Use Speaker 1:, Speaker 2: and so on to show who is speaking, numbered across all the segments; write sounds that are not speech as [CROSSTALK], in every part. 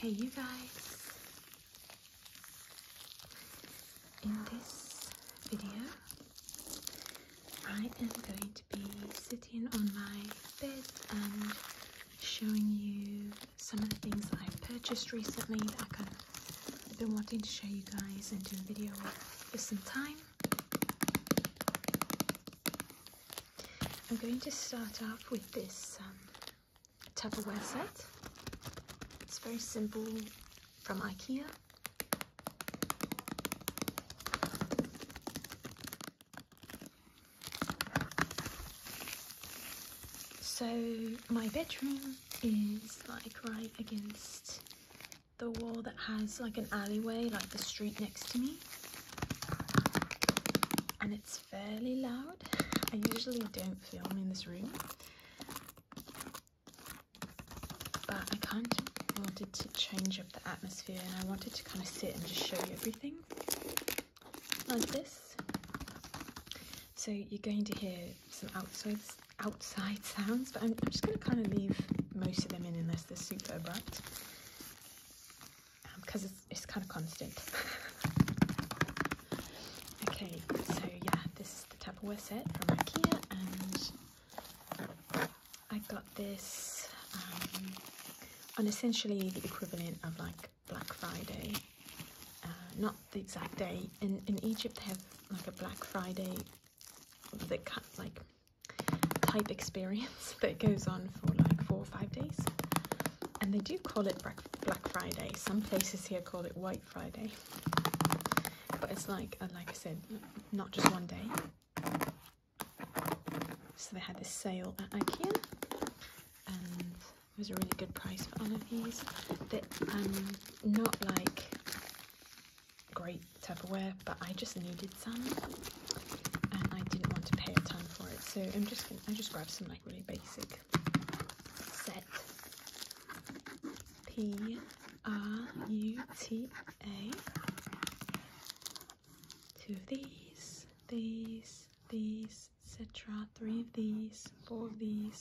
Speaker 1: Hey, you guys. In this video, I am going to be sitting on my bed and showing you some of the things that I've purchased recently that I have been wanting to show you guys and do a video with for some time. I'm going to start off with this um, Tupperware set. It's very simple from Ikea. So my bedroom is like right against the wall that has like an alleyway, like the street next to me. And it's fairly loud. I usually don't film in this room. But I kind of wanted to change up the atmosphere and I wanted to kind of sit and just show you everything like this. So you're going to hear some outside outside sounds, but I'm, just going to kind of leave most of them in unless they're super abrupt because um, it's, kind of constant. [LAUGHS] okay, so yeah, this is the Tupperware set from Ikea and I got this um, on essentially the equivalent of like Black Friday. Uh, not the exact day. In, in Egypt, they have like a Black Friday the like type experience [LAUGHS] that goes on for like four or five days. And they do call it Black Friday. Some places here call it White Friday. But it's like, uh, like I said, not just one day. So they had this sale at Ikea. And it was a really good price for all of these. They're um, not like great Tupperware, but I just needed some and I didn't want to pay a ton for it. So I'm just gonna, I just grabbed some like really basic set P R U T A. Two of these, these, these, etc. Three of these, four of these.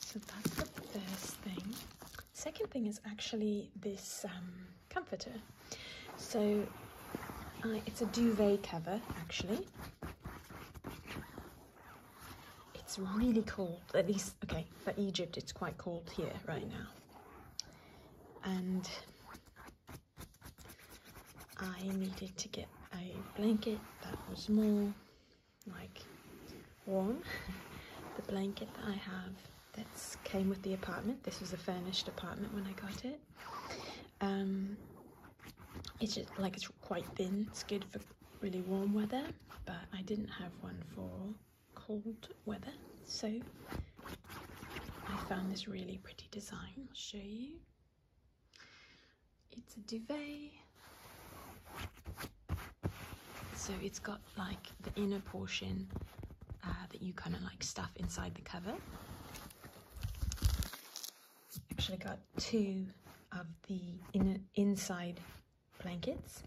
Speaker 1: So that's the first thing. Second thing is actually this um, comforter. So it's a duvet cover actually. It's really cold, at least, okay, for Egypt, it's quite cold here right now. And I needed to get a blanket that was more like warm. [LAUGHS] the blanket that I have that came with the apartment, this was a furnished apartment when I got it. Um, it's just like it's quite thin, it's good for really warm weather but I didn't have one for cold weather so I found this really pretty design I'll show you it's a duvet so it's got like the inner portion uh, that you kind of like stuff inside the cover actually got two of the inner inside blankets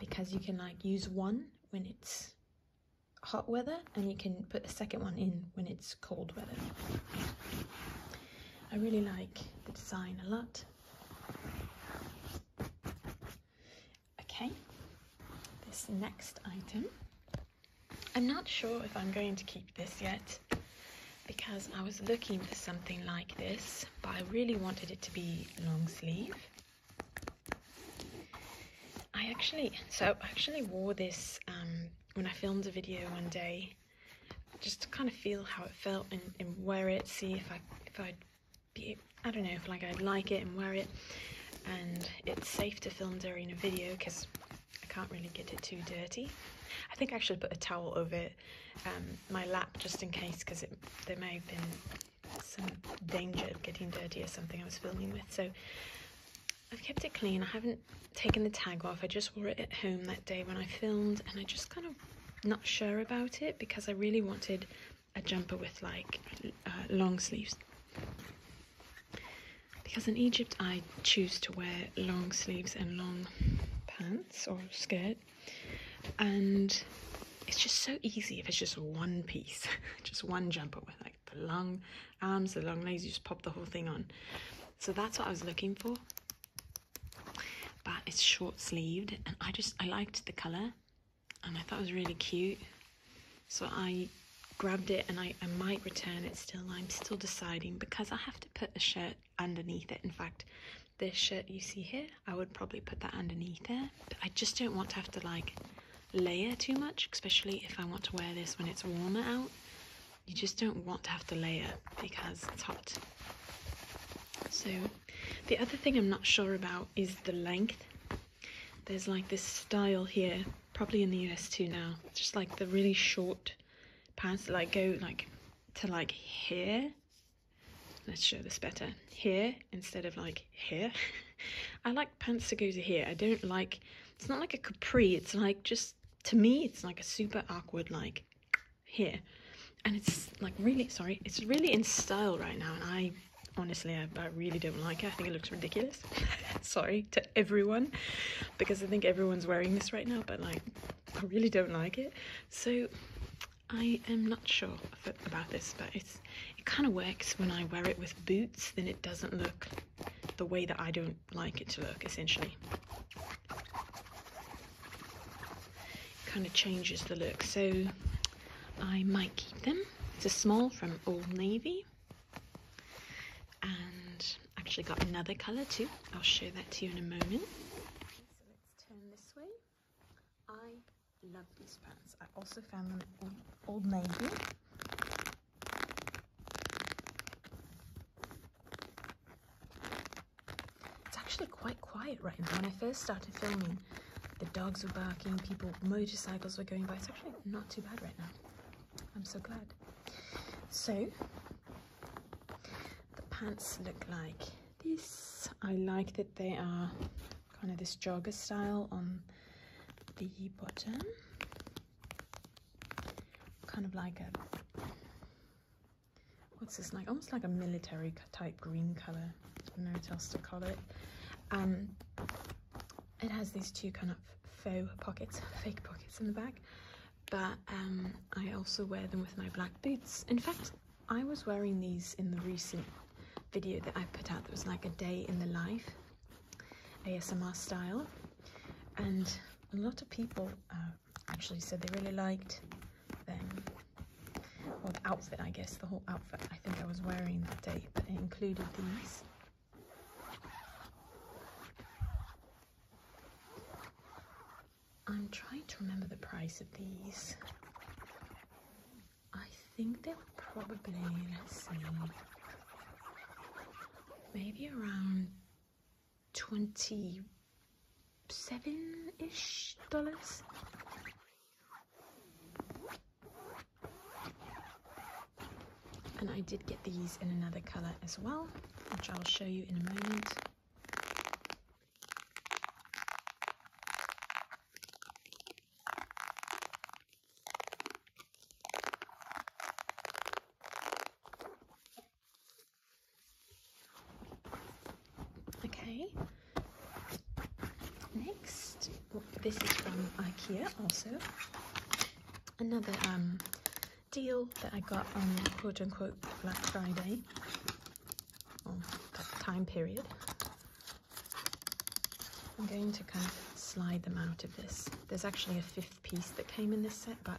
Speaker 1: because you can like use one when it's hot weather and you can put a second one in when it's cold weather. I really like the design a lot. Okay, this next item. I'm not sure if I'm going to keep this yet because I was looking for something like this, but I really wanted it to be long sleeve. I actually, so I actually wore this um, when I filmed a video one day, just to kind of feel how it felt and, wear it, see if I, if I'd be, I don't know, if like I'd like it and wear it. And it's safe to film during a video because I can't really get it too dirty. I think I should put a towel over it. Um, my lap just in case because there may have been some danger of getting dirty or something I was filming with. So I've kept it clean. I haven't taken the tag off. I just wore it at home that day when I filmed and I just kind of not sure about it because I really wanted a jumper with like uh, long sleeves. Because in Egypt I choose to wear long sleeves and long pants or skirt and it's just so easy if it's just one piece, [LAUGHS] just one jumper with like the long arms, the long legs, you just pop the whole thing on. So that's what I was looking for. But it's short sleeved and I just, I liked the color and I thought it was really cute. So I grabbed it and I, I might return it still. I'm still deciding because I have to put a shirt underneath it. In fact, this shirt you see here, I would probably put that underneath it. I just don't want to have to like layer too much, especially if I want to wear this when it's warmer out. You just don't want to have to layer because it's hot. So the other thing I'm not sure about is the length. There's like this style here, probably in the US too now, just like the really short pants that like go like to like here, let's show this better, here instead of like here. [LAUGHS] I like pants to go to here. I don't like, it's not like a capri, it's like just, to me, it's like a super awkward like here. And it's like really, sorry, it's really in style right now and I honestly I, I, really don't like it i think it looks ridiculous [LAUGHS] sorry to everyone because i think everyone's wearing this right now but like I really don't like it. So I am not sure about this, but it kind of works when I wear it with boots, then it doesn't look the way that I don't like it to look, essentially. kind of changes the look, so I might keep them. It's a small from Old Navy, and Actually got another colour too. I'll show that to you in a moment. So let's turn this way. I love these pants. I also found them Old Navy. It's actually quite quiet right now. When I first started filming, the dogs were barking, people, motorcycles were going by. It's actually not too bad right now. I'm so glad. So the pants look like this I like that they are kind of this jogger style on the bottom kind of like a what's this like almost like a military type green color I don't know what else to call it um it has these two kind of faux pockets [LAUGHS] fake pockets in the back but um, I also wear them with my black boots. In fact, I was wearing these in the recent video that I put out that was like a day in the life, ASMR style, and a lot of people uh, actually said they really liked them. Well, the outfit, I guess, the whole outfit I think I was wearing that day, but it included these. I'm trying to remember the price of these. I think they were probably, let's see, maybe around 27-ish dollars. And I did get these in another color as well, which I'll show you in a moment. Okay. Next, this is from IKEA also. Another um, deal that I got on quote unquote Black Friday, time period. I'm going to kind of slide them out of this. There's actually a fifth piece that came in this set, but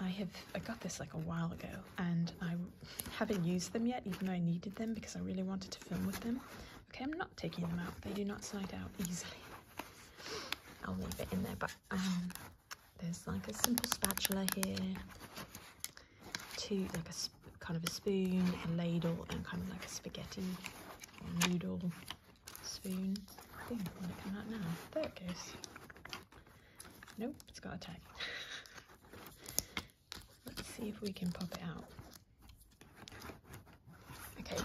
Speaker 1: I have I got this like a while ago and I haven't used them yet even though I needed them because I really wanted to film with them. Okay, I'm not taking them out. They do not slide out easily. I'll leave it in there, but um, there's like a simple spatula here, two like a kind of a spoon, a ladle, and kind of like a spaghetti noodle spoon. I think I'm to come out now. There it goes. Nope, it's got a tag. [LAUGHS] Let's see if we can pop it out. Okay,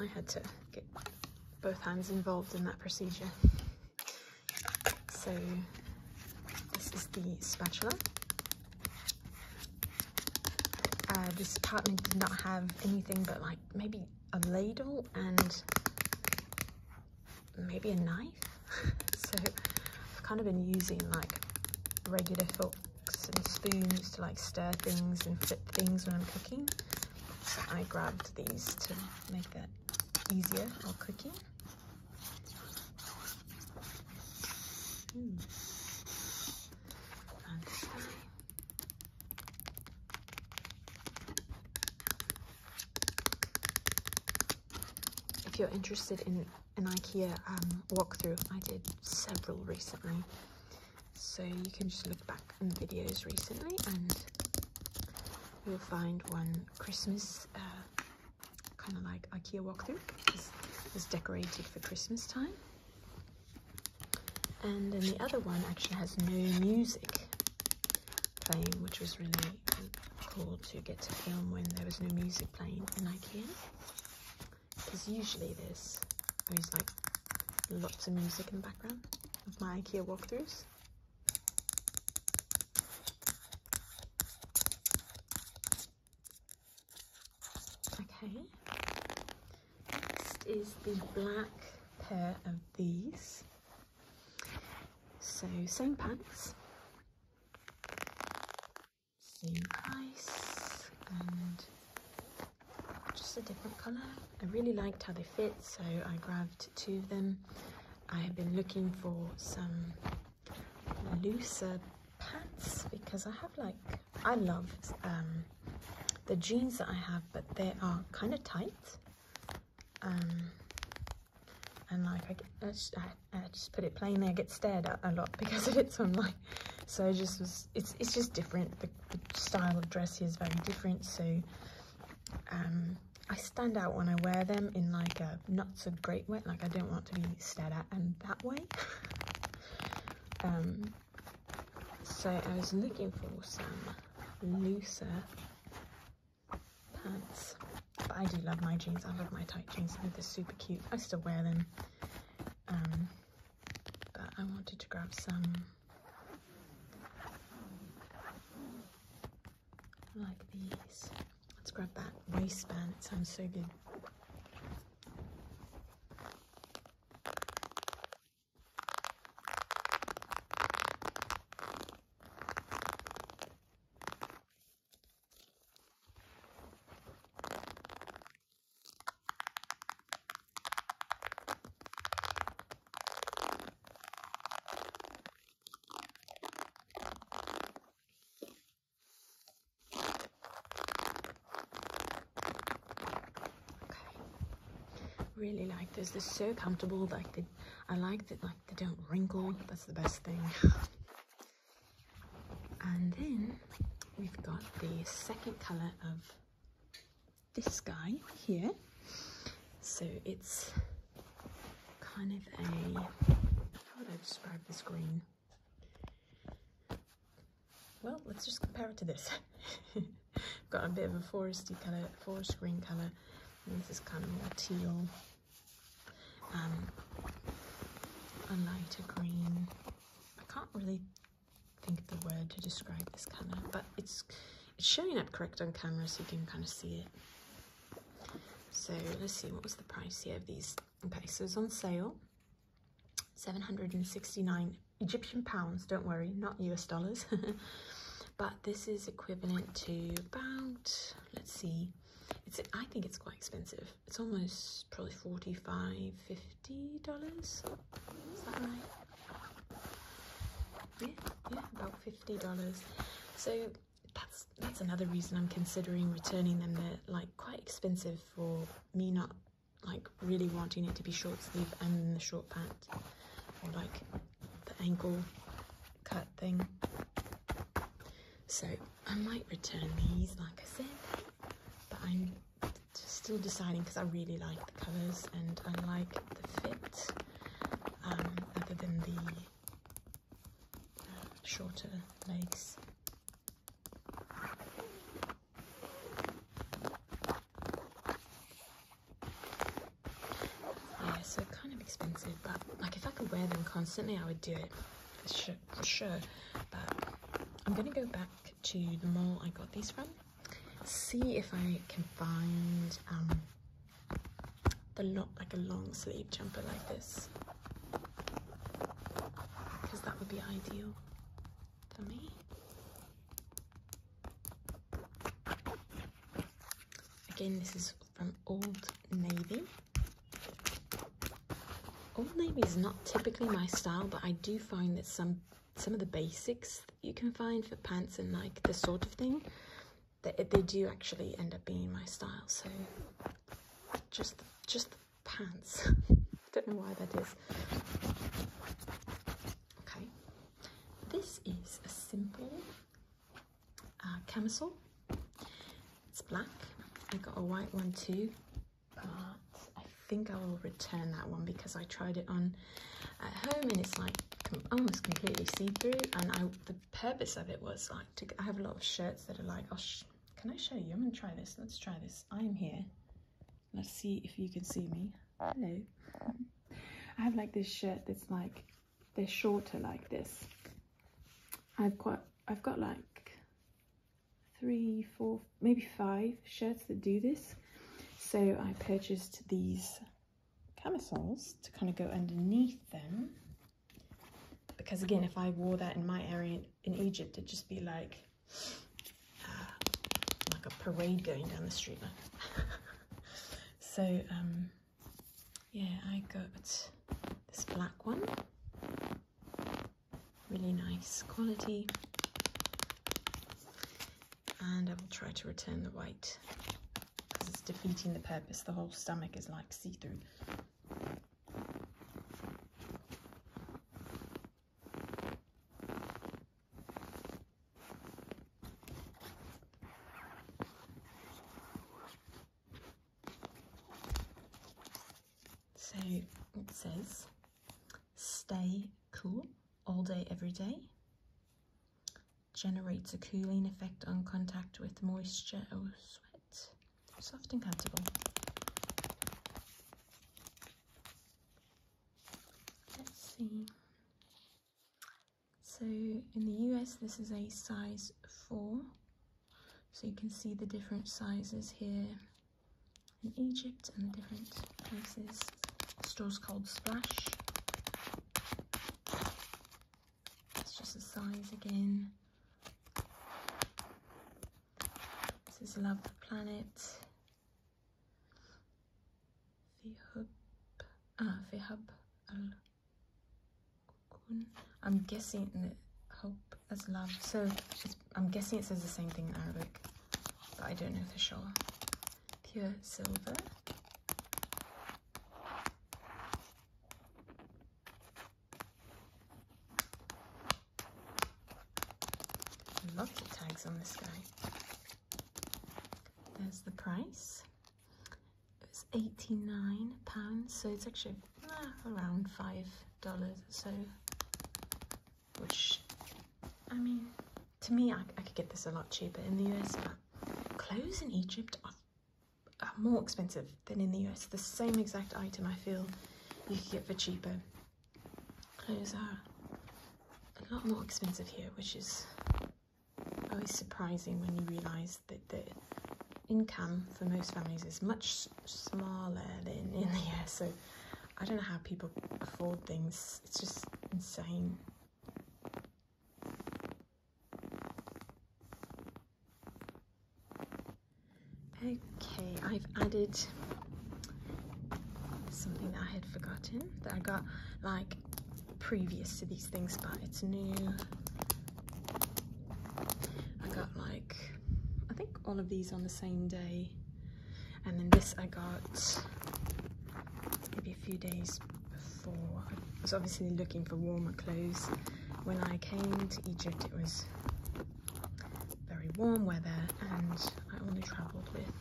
Speaker 1: I had to get both hands involved in that procedure. So this is the spatula. Uh, this apartment did not have anything but like maybe a ladle and maybe a knife. [LAUGHS] so I've kind of been using like regular forks and spoons to like stir things and flip things when I'm cooking. I grabbed these to make that easier while cooking. If you're interested in an IKEA um, walkthrough, I did several recently. So you can just look back on videos recently and you'll find one Christmas uh, kind of like IKEA walkthrough is, is decorated for Christmas time. And then the other one actually has no music playing, which was really cool to get to film when there was no music playing in IKEA. Because usually there's always like Lots of music in the background of my IKEA walkthroughs. Okay, next is the black pair of these. So same pants, same price and just a different color. I really liked how they fit, so I grabbed two of them. I have been looking for some looser pants because I have like, I love um, the jeans that I have, but they are kind of tight. Um, and like I, just, I, just put it plain there, I get stared at a lot [LAUGHS] because of it. So I'm like, so I just was it's it's just different. The, style of dress is very different, so um, I stand out when I wear them in like a not so great way. Like I don't want to be stared at and that way. [LAUGHS] Um, so I was looking for some looser pants. But I do love my jeans. I love my tight jeans. they're super cute. I still wear them. Um, but I wanted to grab some like these. Let's grab that waistband, it sounds so good really like this they're so comfortable like they i like that like they don't wrinkle that's the best thing [LAUGHS] and then we've got the second color of this guy here. So it's kind of a, how would I describe this green? Well, let's just compare it to this. [LAUGHS] Got a bit of a foresty colour, forest green colour, this is kind of more teal, um, a lighter green. I can't really think the word to describe this colour, but it's it's showing up correct on camera so you can kind of see it. So let's see, what was the price here of these? Okay, so it's on sale, 769 Egyptian pounds, don't worry, not US dollars. [LAUGHS] but this is equivalent to about, let's see, it's I think it's quite expensive. It's almost probably 45, 50, $50. Is that right? Yeah, yeah, about $50. So that's that's another reason I'm considering returning them. They're like quite expensive for me not like really wanting it to be short sleeve and the short pant like the ankle cut thing. So I might return these like I said, but I'm still deciding because I really like the colours and I like the fit um, other than the uh, shorter legs. Yeah, so kind of expensive, but like if I could wear them constantly, I would do it for sure. but I'm gonna go back to the mall I got these from see if I can find um, the long, like a long sleeve jumper like this because that would be ideal for me. Again, this is from Old Navy. Old Navy is not typically my style, but I do find that some some of the basics that you can find for pants and like this sort of thing that they do actually end up being my style so just the, just the pants [LAUGHS] don't know why that is okay this is a simple uh, camisole it's black I got a white one too but I think I will return that one because I tried it on at home and it's like almost completely see-through and I the purpose of it was like I have a lot of shirts that are like oh can I show you I'm gonna try this let's try this I'm here let's see if you can see me hello I have like this shirt that's like they're shorter like this I've got I've got like three, four, maybe five shirts that do this. So I purchased these camisoles to kind of go underneath them. Because again, if I wore that in my area in Egypt, it'd just be like, ah, like a parade going down the street. [LAUGHS] so, um, yeah, I got this black one really nice quality and I will try to return the white because it's defeating the purpose the whole stomach is like see-through So it says stay cool all day, every day, generates a cooling effect on contact with moisture or sweat, soft and comfortable. Let's see. So in the US, this is a size 4. So you can see the different sizes here in Egypt and different places. Stores called Splash. It's just the size again. This is Love the Planet. The Hub. Ah, the Hub. I'm guessing the Hope that's love. So I'm guessing it says the same thing in Arabic, but I don't know for sure. Pure silver. I love tags on this guy. There's the price. It's £89, so it's actually ah, around five dollars or so, which, I mean, to me, I, I, could get this a lot cheaper in the US, but clothes in Egypt are, are more expensive than in the US. The same exact item I feel you could get for cheaper. Clothes are a lot more expensive here, which is always surprising when you realise that the income for most families is much smaller than in the US. So I don't know how people afford things. It's just insane. Okay, I've added something that I had forgotten that I got like previous to these things, but it's new. I got like I think all of these on the same day. And then this I got maybe a few days before. I was obviously looking for warmer clothes. When I came to Egypt, it was very warm weather and I only traveled with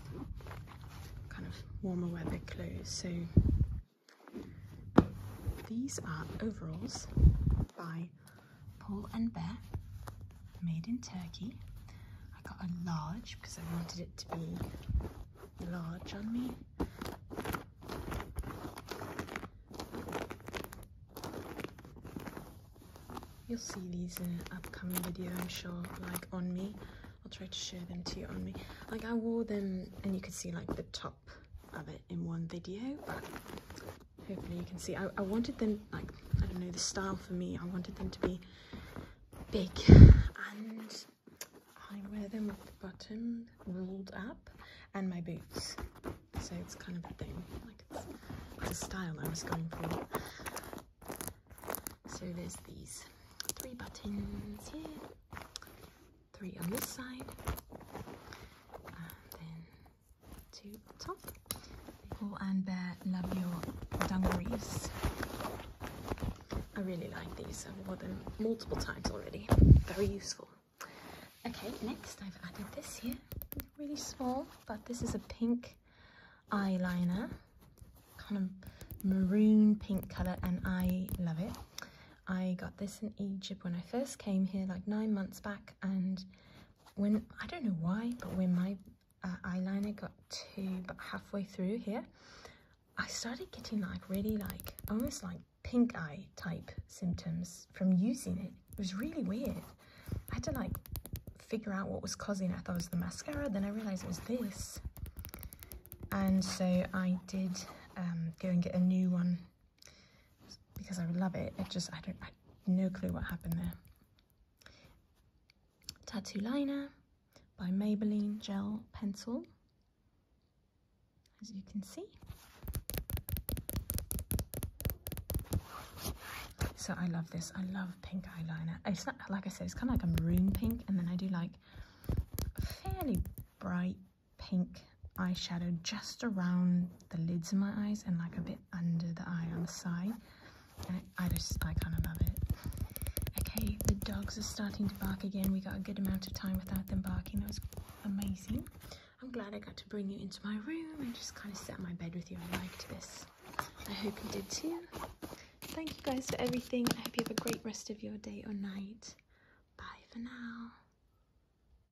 Speaker 1: kind of warmer weather clothes. So these are overalls by Paul and Bear, made in Turkey. I got a large because I wanted it to be large on me. You'll see these in an upcoming video, I'm sure, like on me. I'll try to show them to you on me. Like I wore them and you could see like the top of it in one video, hopefully you can see. I, I wanted them, like, I don't know, the style for me, I wanted them to be big and I wear them with the bottom rolled up and my boots. So it's kind of a thing, like it's, a style I was going for. So there's these three buttons here, three on this side, and then to top. Nicole and Bear Love Your Dungarees. I really like these. I've worn them multiple times already. Very useful. Okay, next I've added this here. Really small, but this is a pink eyeliner. Kind of maroon pink colour and I love it. I got this in Egypt when I first came here like nine months back and when I don't know why, but when my uh, eyeliner got to halfway through here, I started getting like really like almost like pink eye type symptoms from using it. It was really weird. I had to like figure out what was causing it. I thought it was the mascara, then I realized it was this. And so I did um, go and get a new one because I love it. It just, I don't, I no clue what happened there. Tattoo Liner by Maybelline Gel Pencil, as you can see. So I love this. I love pink eyeliner. It's not, like I said, it's kind of like a maroon pink, and then I do like fairly bright pink eyeshadow just around the lids of my eyes and like a bit under the eye on the side. I, just, I kind of love it. Okay, the dogs are starting to bark again. We got a good amount of time without them barking. That was amazing. I'm glad I got to bring you into my room and just kind of set my bed with you. I liked this. I hope you did too. Thank you guys for everything. I hope you have a great rest of your day or night. Bye for now.